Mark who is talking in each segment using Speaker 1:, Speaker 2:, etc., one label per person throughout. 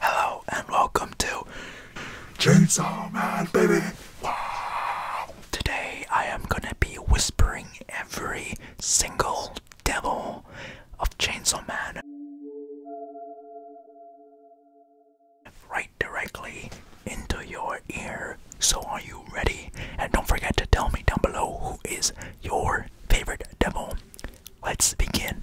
Speaker 1: Hello and welcome to Chainsaw Man, baby! Wow! Today I am gonna be whispering every single devil of Chainsaw Man right directly into your ear. So are you ready? And don't forget to tell me down below who is your favorite devil. Let's begin.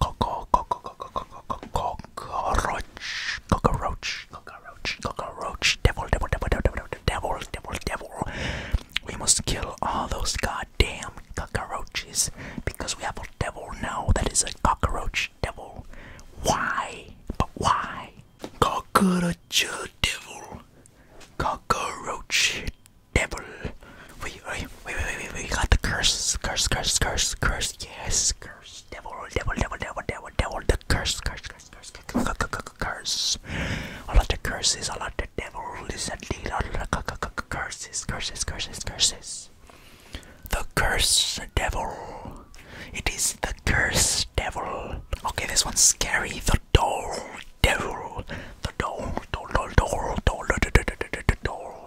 Speaker 1: cockroach, cockroach, cockroach, cockroach, cockroach, devil, devil, devil, devil, devil, devil, devil. We must kill all those goddamn cockroaches because we have a devil now that is a cockroach devil. Why? But why? Cockroach devil, cockroach devil. We, we, we, we, we, we got the curse, curse, curse, curse, curse, yes, curse, devil, devil, devil, devil, devil, devil, the curse, curse, curse, curse, curse, curse, all of the curses, all of the devils, and all of the curses, curses, curses, curses, the curse, devil, it is the curse, devil, okay, this one's scary, the door, devil, the door, door, door, door, door, door, door, door, door,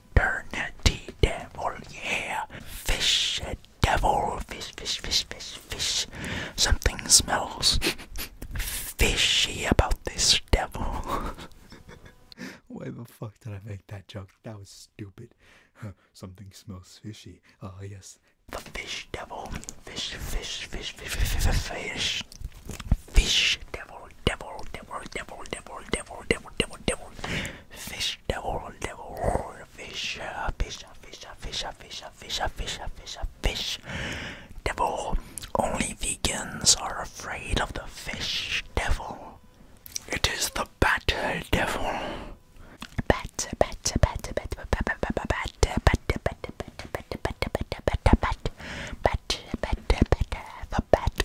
Speaker 1: eternity devil, yeah. Fish devil, fish, fish, fish, fish, fish. Something smells fishy about this devil. Why the fuck did I make that joke? That was stupid. Something smells fishy. Ah, uh, yes. The fish devil, fish, fish, fish, fish, fish, fish, fish, devil, devil, devil, devil, devil, devil, devil, devil, devil, fish fish, devil, devil, fish, fish, fish, fish, fish, fish, fish, fish, fish, devil. Only vegans are afraid of the fish devil. It is the bat devil. Bat, bat, bat, bat, bat, bat, bat, bat, bat, bat, bat, bat, bat, bat, bat, bat, bat, bat, the bat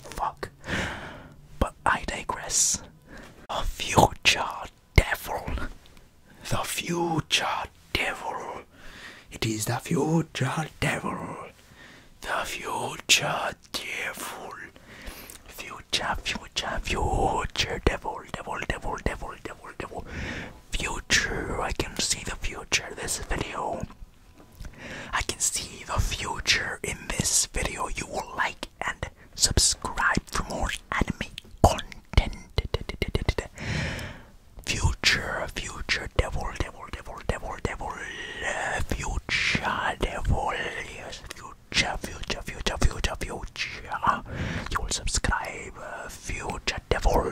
Speaker 1: fuck. But I digress. The future devil. The future devil. It is the future devil. The future devil. Future, future, future devil, devil, devil, devil, devil, devil. Future. I can see the future. This video I can see the future in this video. You will like and subscribe for more anime content. Future, future, devil, devil, devil, devil, devil, future, devil, future, future, future, future, future. You will subscribe, future devil.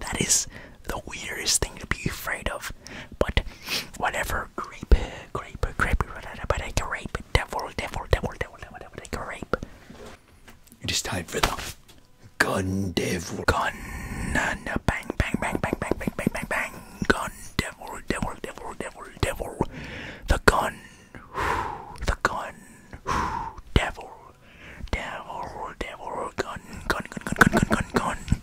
Speaker 1: That is the weirdest thing to be afraid of. But whatever, grape, grape, grape, but I can rape, devil, devil, It is time for the gun devil, gun, bang, bang, bang, bang, bang, bang, bang, bang, bang, gun devil, devil, devil, devil, devil, the gun, the gun, devil, devil, devil, gun, gun, gun, gun, gun, gun, gun.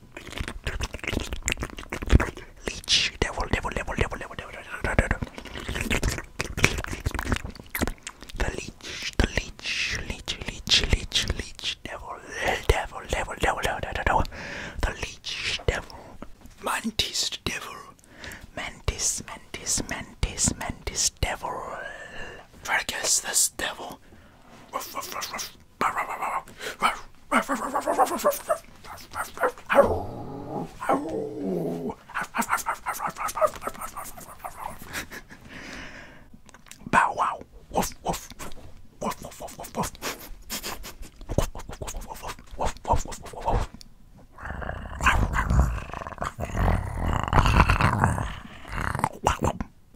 Speaker 1: Leech, devil, devil, devil, devil, devil, devil, devil. The leech, the leech, leech, leech, leech, leech, devil, devil, devil, devil, devil, devil. The leech, devil, mantis, devil, mantis, mantis, mantis, mantis, devil. Try to guess this devil. Ruff, ruff, ruff, ruff. Bow wow. Woof woof. Woof woof woof woof woof. Wow.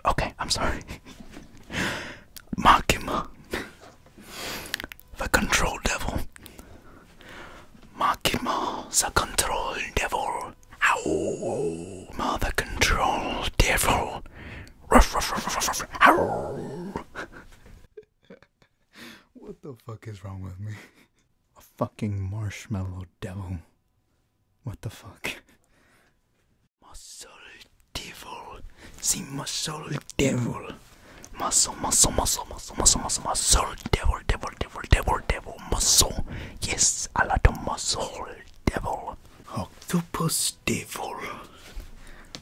Speaker 1: Okay, I'm sorry. Makima, the control devil. Makima, the control devil. Ow, mother control devil. ow. what the fuck is wrong with me? A fucking marshmallow devil. What the fuck? Muscle devil, the muscle devil, muscle, muscle, muscle, muscle, muscle, muscle, muscle, devil, devil, devil, devil, devil, muscle. Yes, a lot of muscle devil. Octopus devil,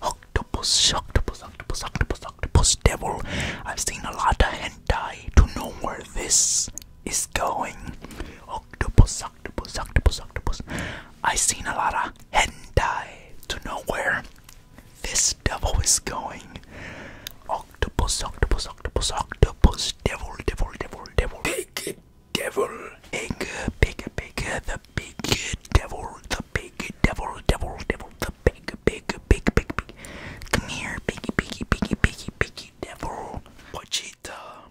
Speaker 1: octopus, octopus, octopus, octopus, octopus devil. I've seen a lot of hentai to know where this is going. Octopus, octopus, octopus, octopus. I seen a lot of hentai to know where this devil is going. Octopus, octopus, octopus, octopus, devil, devil, devil, devil. Big devil, big, big, big, the big devil, the big devil, devil, devil, the big, big, big, big, big. Come here, biggy, biggy, biggy, biggy, biggy, devil. Pochita,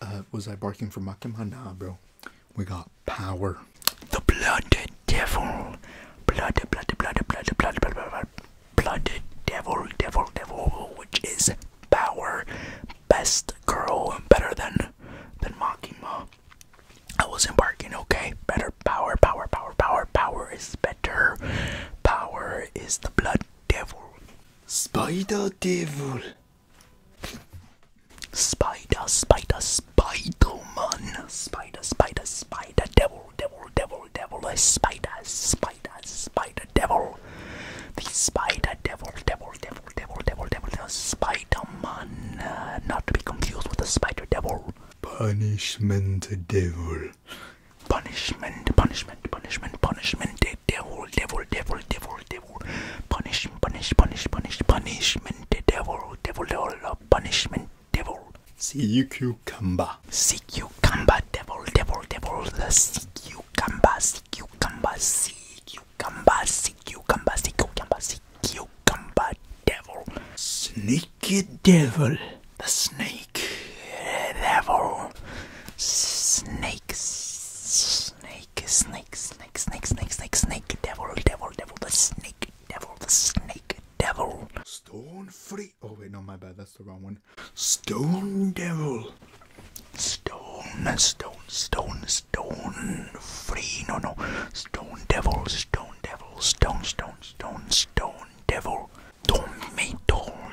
Speaker 1: Uh, was I barking for Makima? Nah, bro. We got power. The blooded devil. Blooded, blooded, blooded, blooded, blooded, blooded, devil, devil, devil, which is power. Best girl, better than than Makima. I wasn't barking, okay? Better power, power, power, power, power is better. Power is the blood devil. Spider devil. Spider, spider, spider man. Spider, spider, spider, devil, devil, devil, devil, spider, spider, spider, devil. The spider, devil, devil, devil, devil, devil, devil, devil spider man. Uh, not to be confused with the spider devil. Punishment devil. Punishment, punishment, punishment, punishment devil, devil, devil, devil, devil, punish, punish, punish, punish, punishment, devil, devil, devil, punishment, devil. Sea cucumber, sea cucumber, devil, devil, devil, the sea cucumber, sea cucumber, sea cucumber, sea cucumber, sea cucumber, sea cucumber, devil, sneaky devil, the snake, devil, snake snake, snake, snake, snake, snake, snake, snake, devil, devil, devil, the snake, devil, the snake, devil. Stone free. Oh wait, no, my bad. That's the wrong one. Stone devil. Stone, stone, stone, stone free. No, no. Stone devil, stone devil, stone, stone, stone, stone devil. Tomato,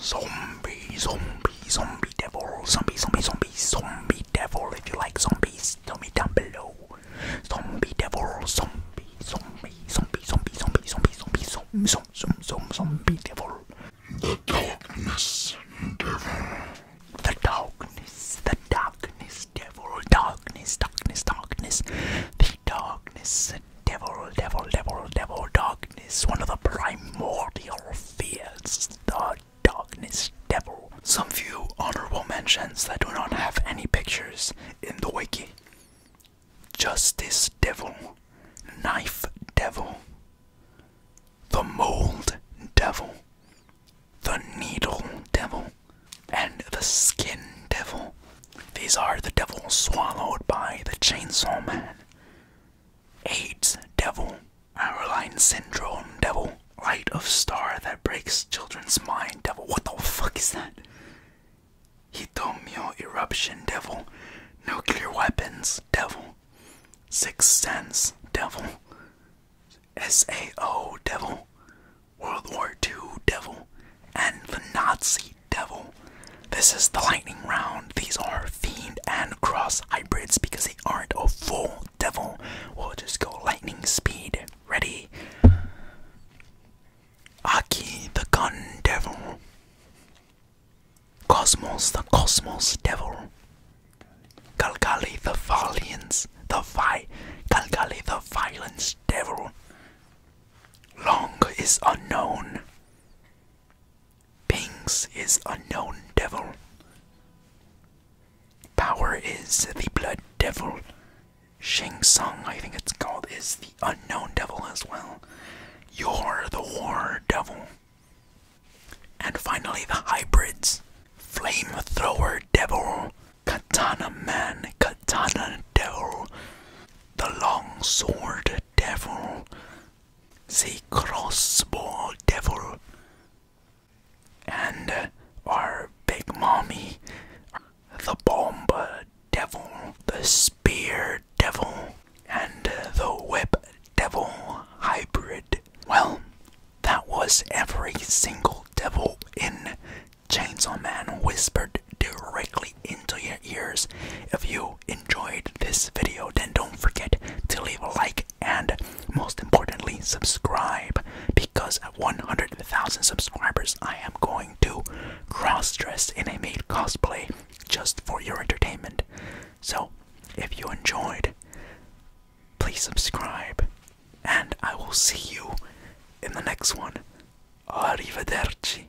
Speaker 1: Zombie, zombie, zombie devil, zombie, zombie, zombie, zombie devil. If you like zombies, tell me down below. Zombie devil, zombie, zombie, zombie, zombie, zombie, zombie, zombie, zombie, zombie, zombie, zombie devil. The darkness devil. The darkness, the darkness devil, darkness, darkness, darkness. The Darkness, devil, devil, devil, devil, darkness, one of the primordial fears, the darkness devil. Some few honorable mentions that do not have any pictures in the wiki. Justice devil, knife devil, the mold devil, the needle devil, and the skin devil. These are the devils swallowed by the chainsaw man. AIDS devil, airline syndrome devil, light of star that breaks children's mind devil. What the fuck is that? Hitomio eruption devil, nuclear weapons devil, sixth sense devil, SAO devil, World War II devil, and the Nazi Devil. This is the lightning round. These are Fiend and Cross hybrids because they aren't a full Devil. We'll just go lightning speed. Ready? Aki the Gun Devil. Cosmos the Cosmos Devil. Galgali the Valiance. The Vi. Galgali the Violence Devil. Long is unknown. Bings is unknown devil. Power is the blood devil. Sheng Song, I think it's called, is the unknown devil as well. You're the war devil. And finally, the hybrids Flamethrower devil, Katana man, Katana devil, the long sword devil. The crossbow devil. And uh, our big mommy, the bomb devil, the spear devil, and uh, the whip devil hybrid. Well, that was every single devil in Chainsaw Man Whispered directly into your ears. If you enjoyed this video, then don't forget to leave a like and most importantly, subscribe because at 100,000 subscribers, I am going to cross dress in a maid cosplay just for your entertainment. So, if you enjoyed, please subscribe and I will see you in the next one. Arrivederci.